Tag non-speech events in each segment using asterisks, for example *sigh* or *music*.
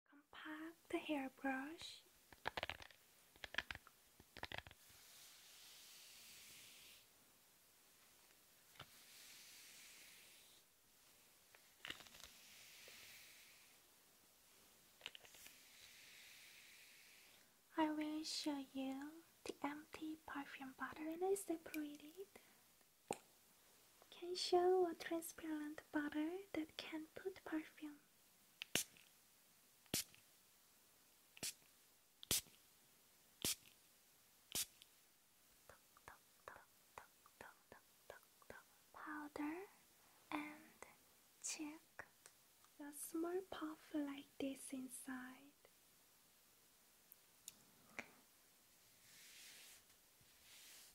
compact the hairbrush I will show you the empty perfume bottle and is it can show a transparent butter that can put perfume. Powder and check a small puff like this inside.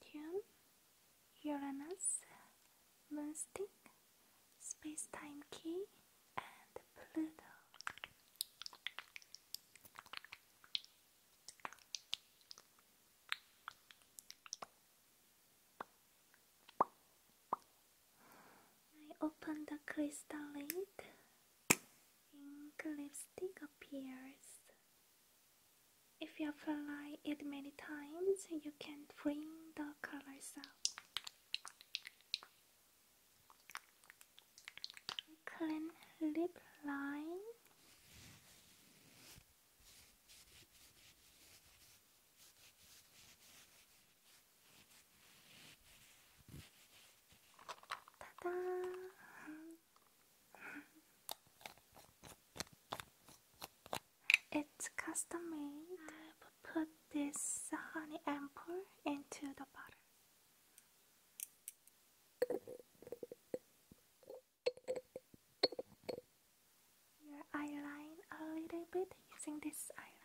Tune Uranus, Moonstick, Space-Time Key, and Pluto. I open the crystal lid, ink lipstick appears. If you apply it many times, you can bring the colors out. Clean lip line. Ta-da! It's custom made. put this honey ampoule into the butter. Your eyeline a little bit using this eyeline.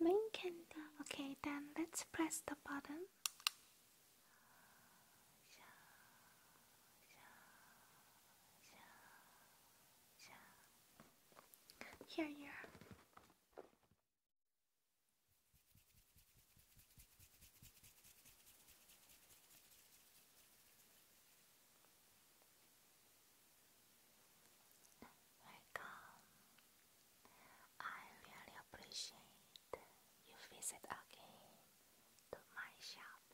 Link and okay, then let's press the button. Here you are. Welcome. I really appreciate you visit again to my shop.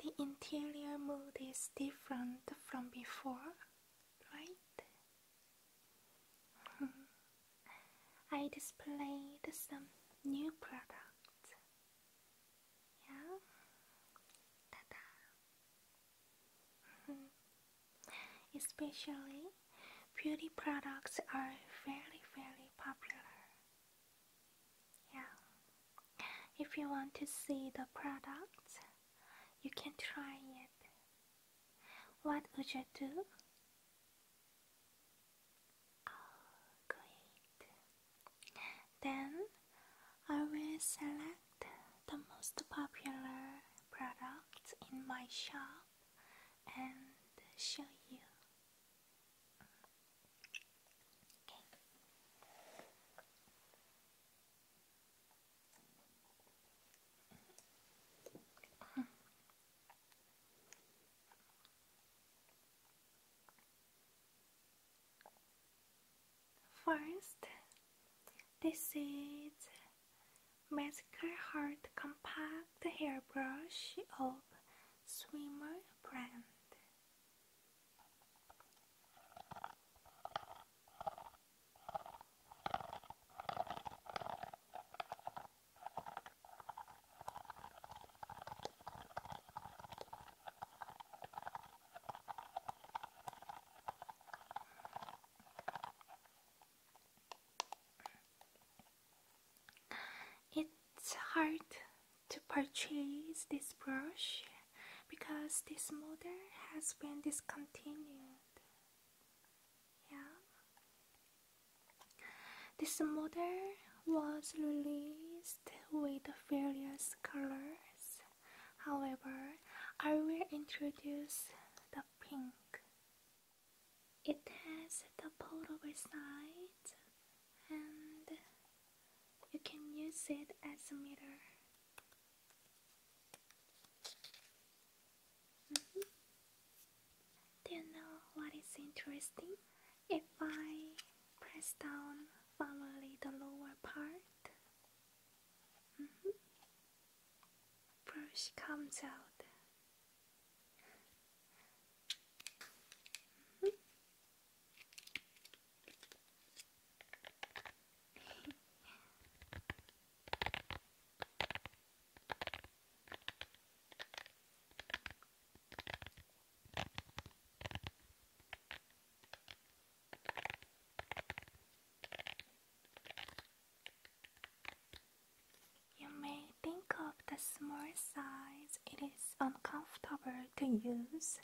The interior mood is different from before, right? I displayed some new products. Yeah? ta mm-hmm. Especially, beauty products are very, very popular. Yeah. If you want to see the products, you can try it. What would you do? Oh, Then I will select the most popular products in my shop and show you. First, this is Magical Heart Compact Hairbrush of Swimmer brand. It's hard to purchase this brush because this model has been discontinued. Yeah. This model was released with various colors. However, I will introduce the pink. It has the portable side and you can use it as a mirror. Do you know what is interesting? If I press down firmly the lower part, mm brush comes out. Mm-hmm. *laughs* You may think of the small size it is uncomfortable to use,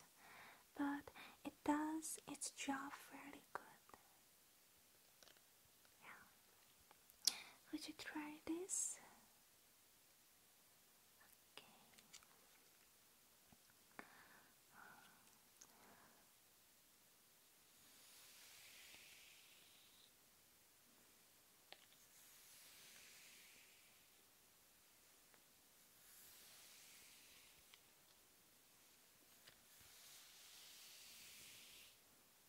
but it does its job really good. Would you try this?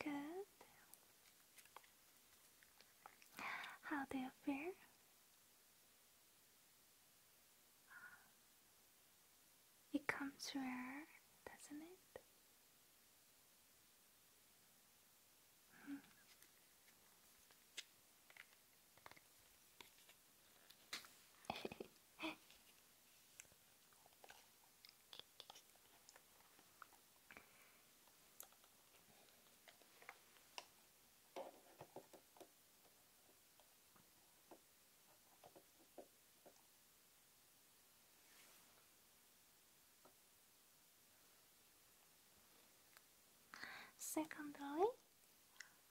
Okay, good. How do you feel? It comes rare, doesn't it? *laughs* Secondly,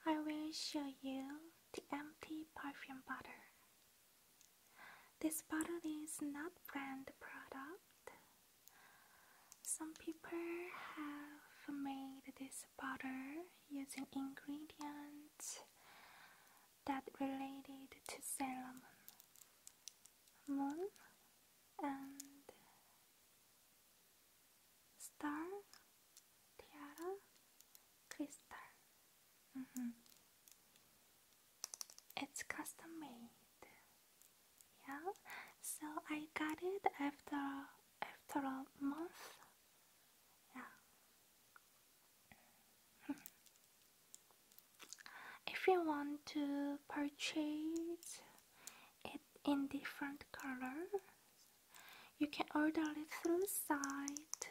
I will show you the empty perfume bottle. This bottle is not brand product. Some people have made this butter using ingredients that related to Solomon, moon, and star, tiara, crystal. Mm-hmm. It's custom made. Yeah, so I got it after after a month if you want to purchase it in different colors, you can order it through site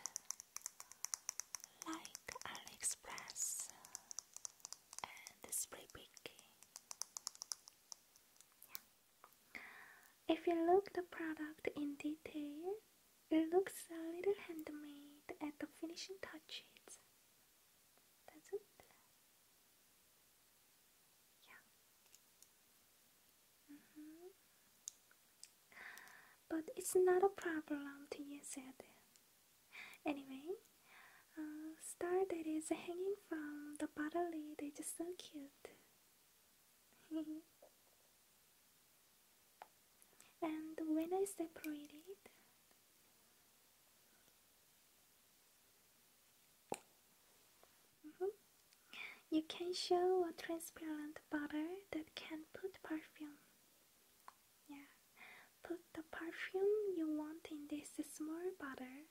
like AliExpress and Spring if you look the product in detail, it looks a little handmade at the finishing touches. That's it. Yeah. Mm -hmm. But it's not a problem to use it. Anyway, uh, star that is hanging from the bottle lid is so cute. *laughs* and when I separate mm-hmm, you can show a transparent butter that can put perfume. Yeah, put the perfume you want in this small butter.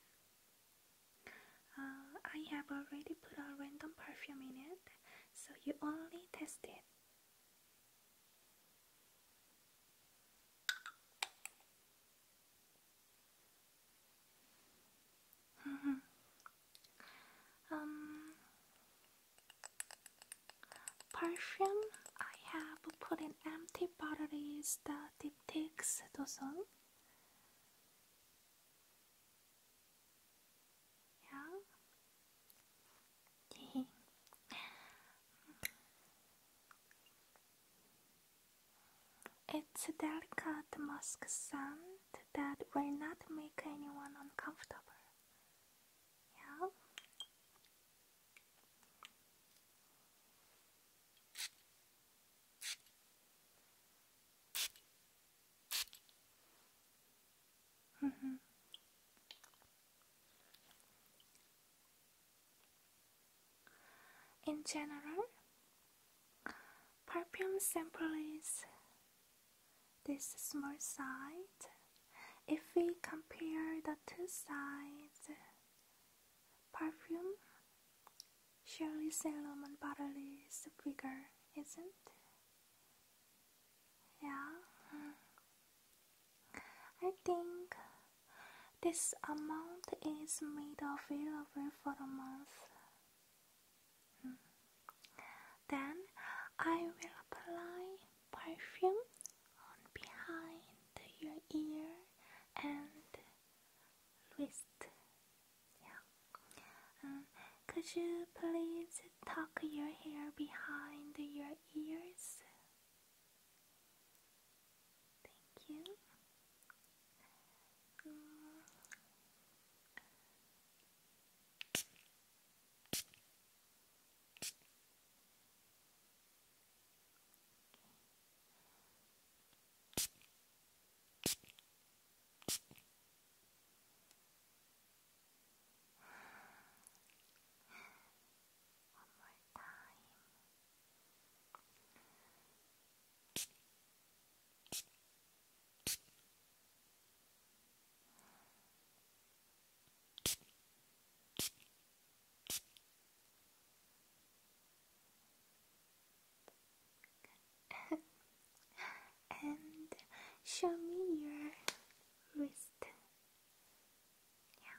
Uh, I have already put a random perfume in it so you only tested. *laughs* um, perfume I have put in empty bottle is the diptychs dozen. Yeah. it's a delicate musk scent that will not make anyone uncomfortable. Yeah. Mm -hmm. In general, perfume sample is this small size. If we compare the two sides, perfume Surely Salomon bottle is bigger, isn't yeah. I think this amount is made available for the month. Hmm. Then I will apply perfume on behind your ear and wrist yeah. Uh, could you please tuck your hair behind your ears? Thank you. Mm. One more time. Good and show me your wrist. Yeah.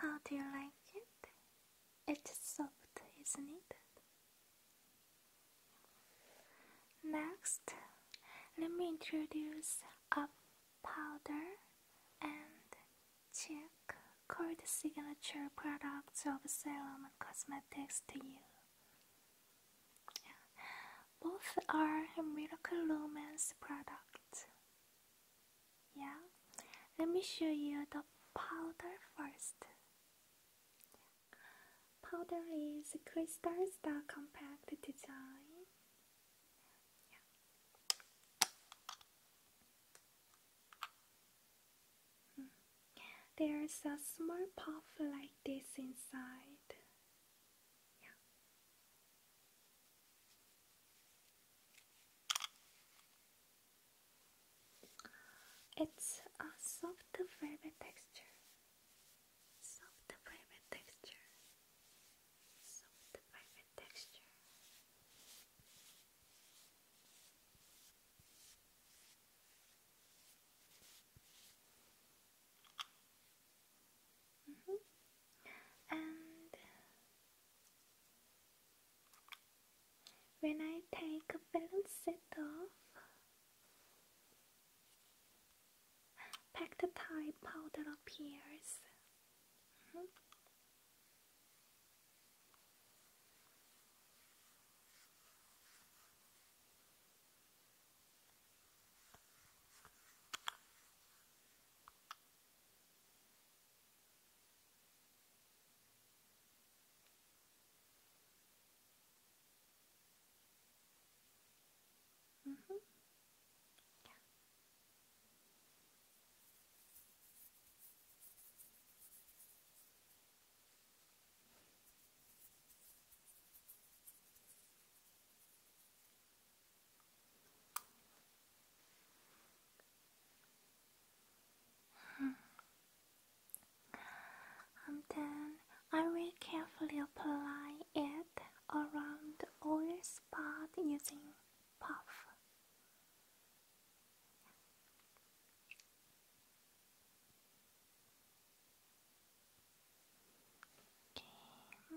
How do you like it? It's soft, isn't it? Next, let me introduce a powder and cheek called the signature products of Serum Cosmetics to you. Both are Miracle Romance products. Yeah, let me show you the powder first. Powder is Crystal Star Compact Design. Yeah. There's a small puff like this inside. It's a soft velvet texture. Soft velvet texture. Soft velvet texture. Mm -hmm. And when I take a little set off, packed Thai powder appears. Mm -hmm. yeah and hmm. um, then I will carefully apply it around oil spot using puff. Hmm.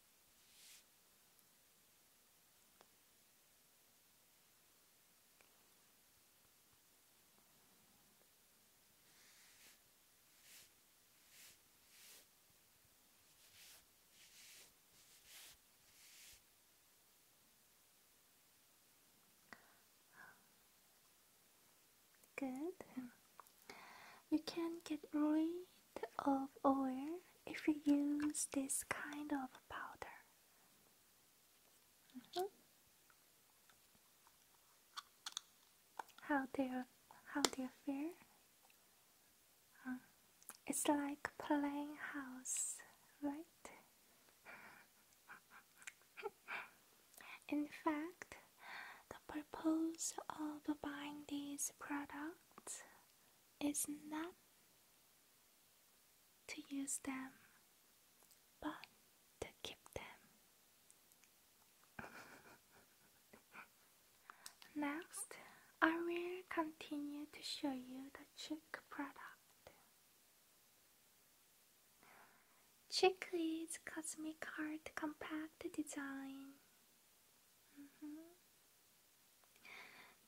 Good. You can get really of oil if you use this kind of powder. Mm-hmm. How do you, how do you feel? Uh, it's like playing house, right? *laughs* In fact, the purpose of buying this product is not to use them, but to keep them. *laughs* Next, I will continue to show you the cheek product. Cheek is Cosmic Heart Compact Design Mm mm-hmm.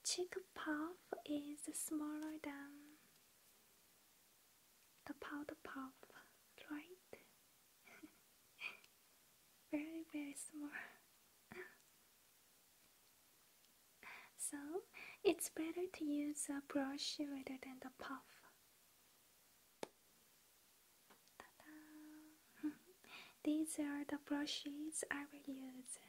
Cheek puff is smaller than the powder puff, right? *laughs* very, very small. *laughs* so, it's better to use a brush rather than the puff. *laughs* These are the brushes I will use.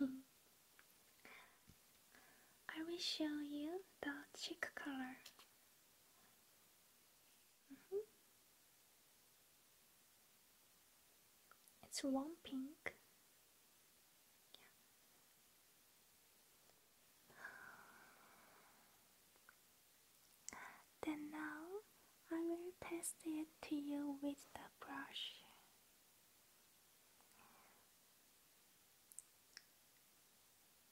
*laughs* I will show you the cheek color. Mm-hmm. It's warm pink. Then now I will pass it to you with the brush.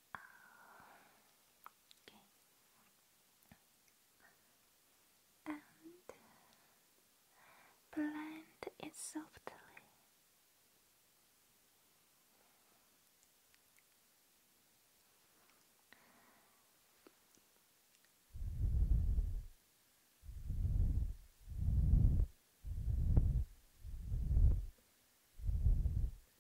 Um, okay. And blend it softly.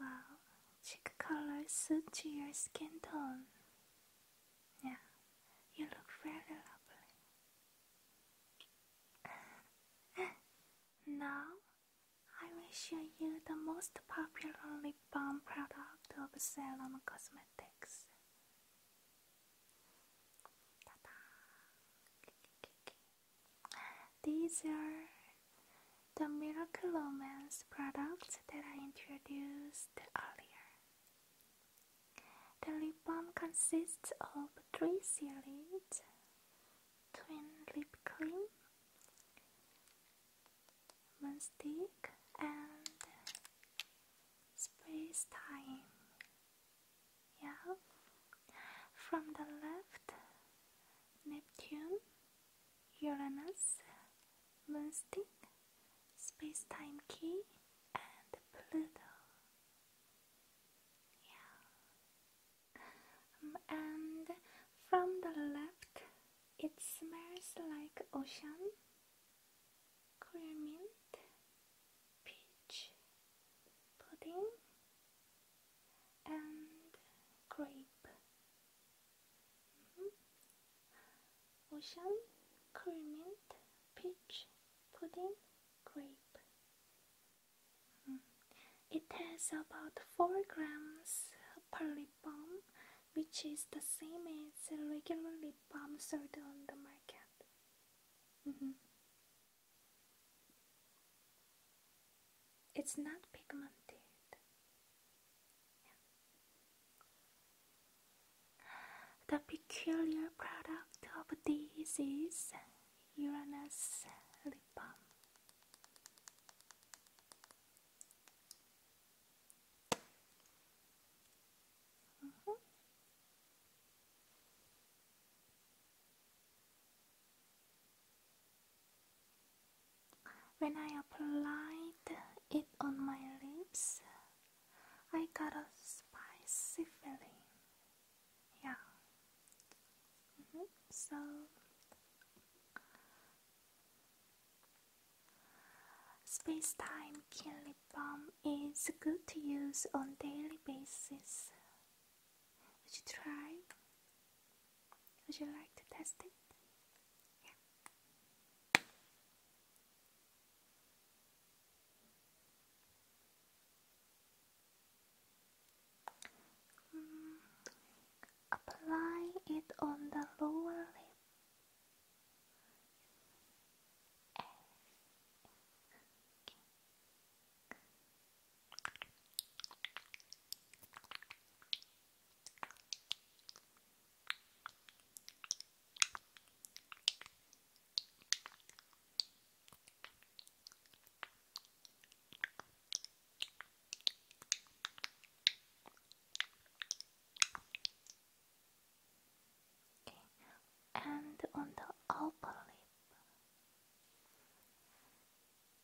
Wow, cheek color suits your skin tone. Yeah, you look very lovely. *laughs* now, I will show you the most popular lip balm product of Salon Cosmetics. These are the Miracle Romance products that I introduced earlier. The lip balm consists of three series twin lip cream, Stick, and space time. Yeah, from the left Neptune, Uranus, Moonstick, Space-Time Key, and Pluto. Yeah. Um, and from the left, it smells like ocean, clear mint, peach, pudding, and grape. Mm-hmm. Ocean, currant, peach, pudding, grape. Mm-hmm. It has about 4 grams per lip balm, which is the same as regular lip balm sold on the market. Mm-hmm. It's not pigmented. The peculiar product of this is Uranus lip balm. Mm -hmm. When I applied it on my lips, I got a spicy feeling. Yeah. Mm-hmm. So space time killer lip balm is good to use on daily basis. Would you try? Would you like to test it? Mm, apply it on the lower lip and on the upper lip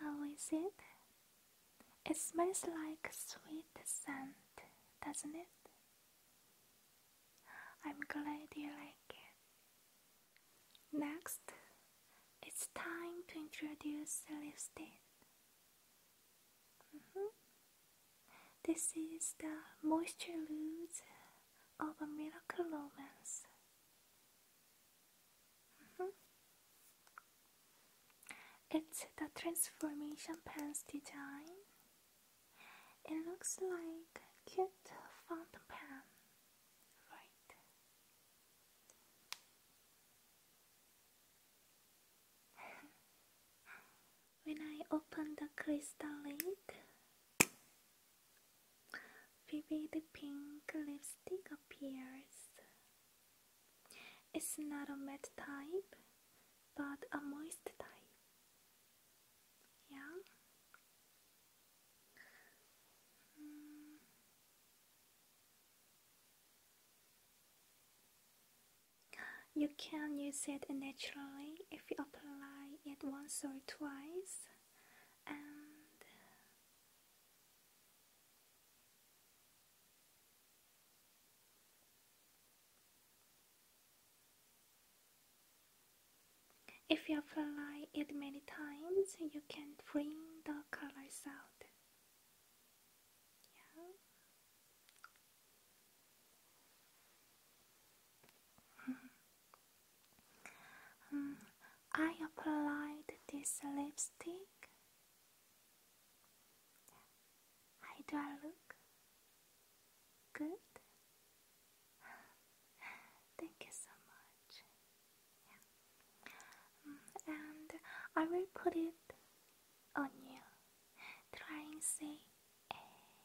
How is it? It smells like sweet scent, doesn't it? I'm glad you like it. Next, it's time to introduce lipstick. Mm-hmm. This is the moisture lose of a miracle romance. Mm-hmm. It's the transformation pants design. It looks like cute fountain pen, right? *laughs* when I open the crystal lid, vivid pink lipstick appears. It's not a matte type, but a moist type. Yeah. Hmm. You can use it naturally if you apply it once or twice and if you apply it many times you can bring the colors out um, I applied this lipstick. How do I look? Good? Thank you so much. And I will put it on you. Try and say A eh.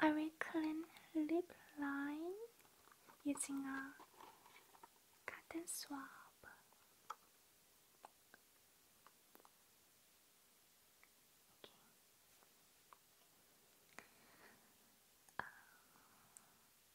I will clean lip line using a cotton swab.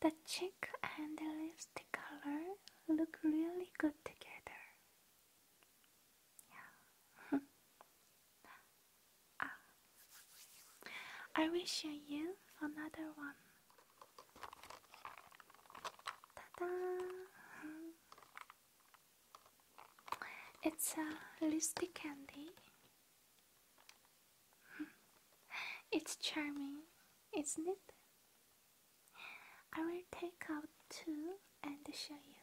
The cheek and the lipstick color look really good together. Yeah. *laughs* Ah. I wish you another one. Ta-da! It's a lusty candy. It's charming, isn't it? I will take out two and show you.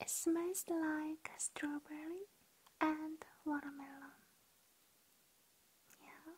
It smells like strawberry and watermelon. Yeah.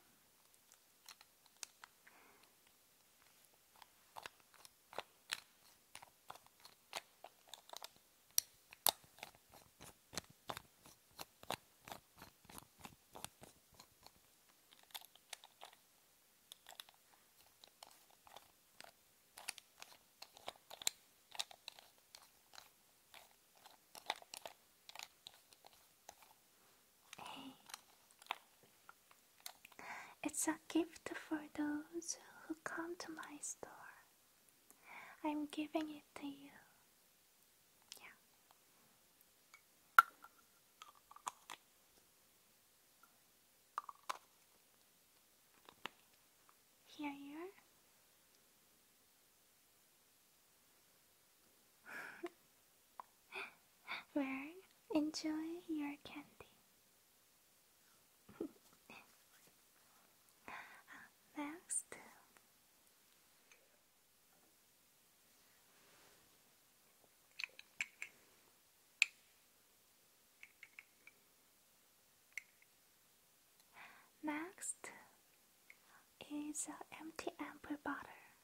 It's a gift for those who come to my store. I'm giving it to you. Yeah. Here you are. well, *gasps* enjoy your candy. *laughs* Next. Next is an empty amber butter.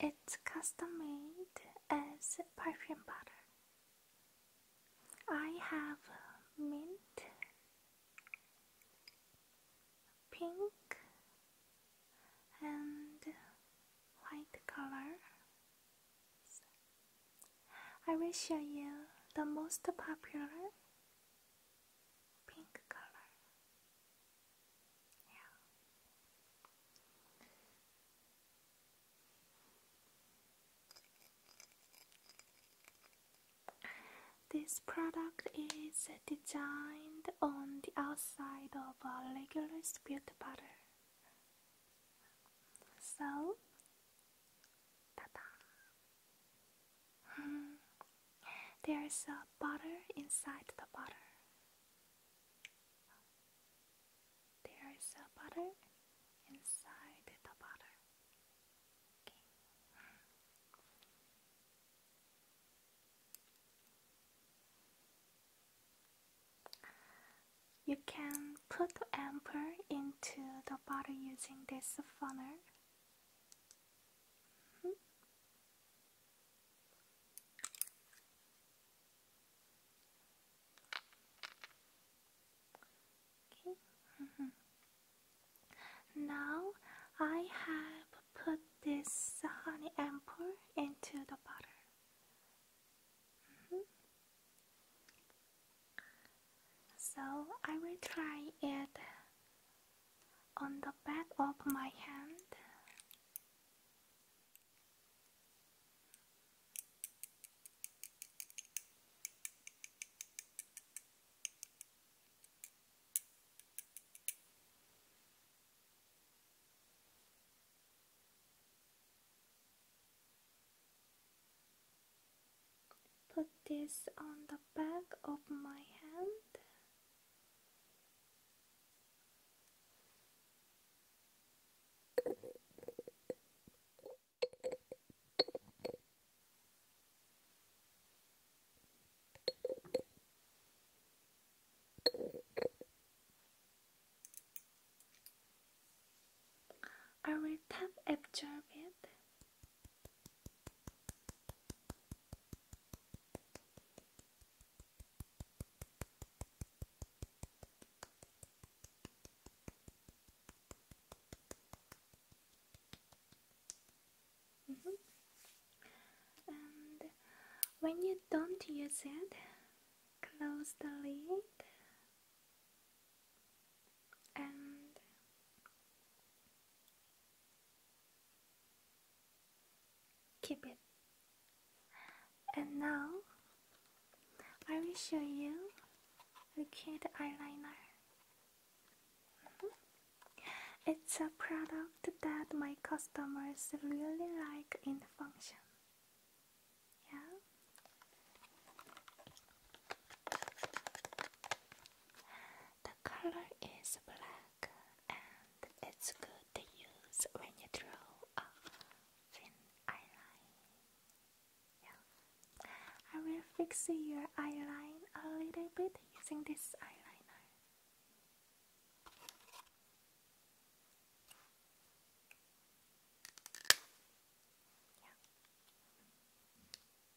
It's custom made as perfume butter. I have mint, pink, and white color. I will show you the most popular pink color. Yeah. This product is designed on the outside of a regular spirit bottle. So, ta Hmm. There's a butter inside the butter. There's a butter inside the butter. Okay. Hmm. You can put the amber into the bottle using this funnel. Mm-hmm. okay. Mm-hmm. Now I have put this honey amber into the butter. Mm-hmm. So I will try it on the back of my hand put this on the back of my hand I will tap absorb it Mm-hmm. when you don't use it, close the lid and keep it. And now I will show you the cute eyeliner. Mm-hmm. It's a product that my customers really like in the function. Yeah. The color is black and it's good to use when you draw a thin eyeline. I will fix your eyeline a little bit using this eyeliner.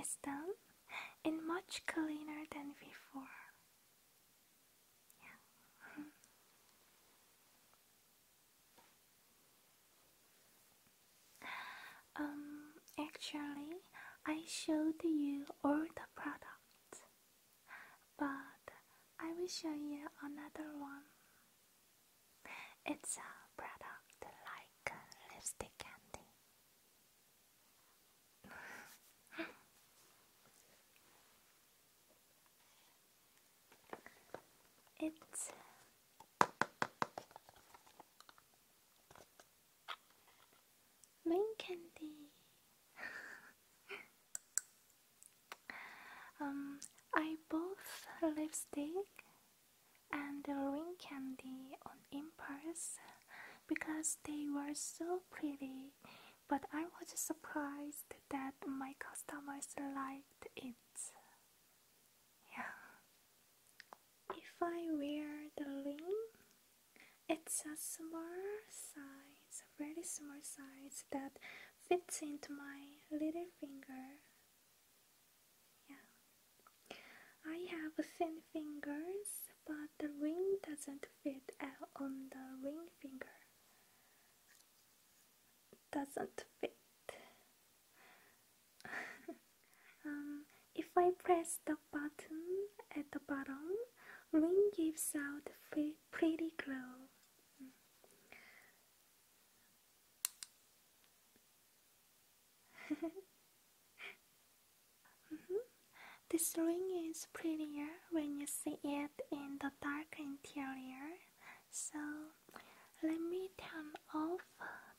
It's done and much cleaner than before. *laughs* Um, actually, I showed you all the products, but I will show you another one. It's a product like lipstick candy. *laughs* It's Rain candy. *laughs* um, I bought lipstick and the ring candy on impulse because they were so pretty. But I was surprised that my customers liked it. Yeah. If I wear the ring, it's a small size, a very small size that fits into my little finger. Yeah. I have thin fingers, but the ring doesn't fit uh, on the ring finger doesn't fit. *laughs* um, if I press the button at the bottom, ring gives out pretty glow. Mm-hmm. *laughs* Mm-hmm. This ring is prettier when you see it in the dark interior, so let me turn off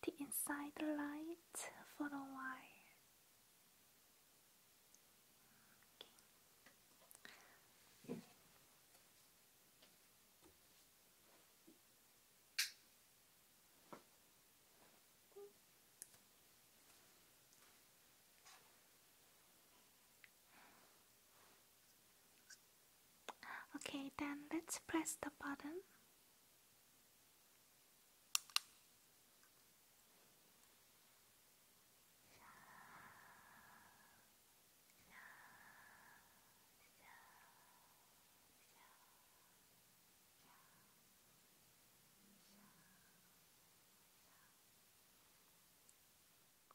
the inside light for a while. Okay, then let's press the button.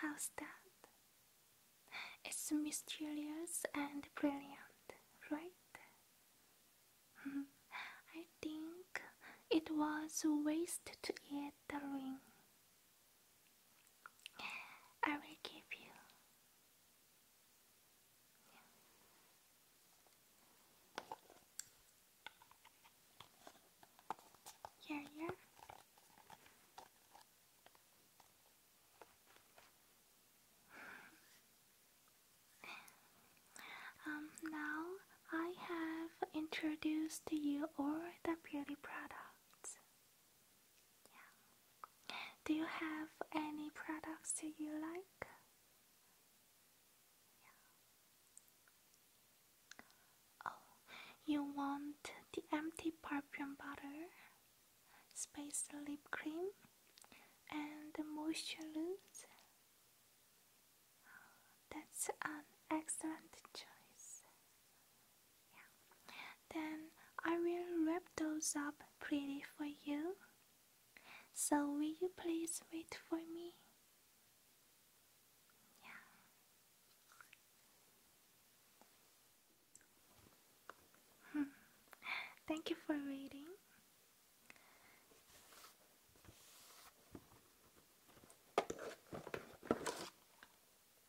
How's that? It's mysterious and brilliant, right? Mm-hmm. I think it was a waste to get the ring. I will give you. Yeah, yeah. um, now I have introduced you all the beauty products. Do you have any products that you like? Oh, you want the empty perfume butter, space lip cream, and the moisture loose? That's an excellent choice. Then I will wrap those up pretty for you. So will you please wait for me? Yeah. *laughs* Thank you for waiting.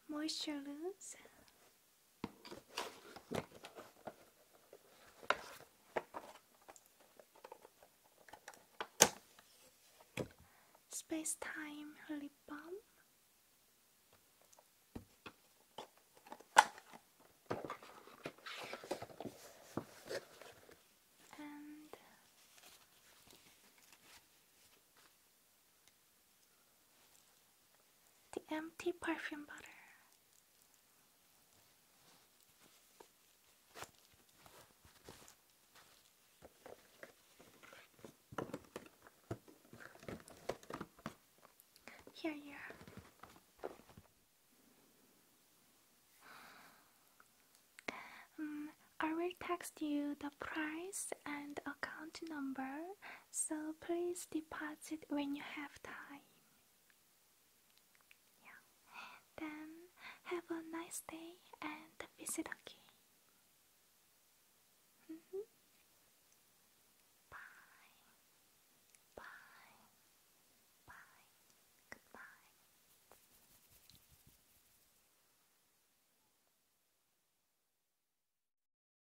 Moisture loose. Space Time Lip Balm. And the empty perfume bottle. Here you are. Um, I will text you the price and account number so please deposit when you have time. Then have a nice day and visit again. Bye. Bye. Bye. Goodbye.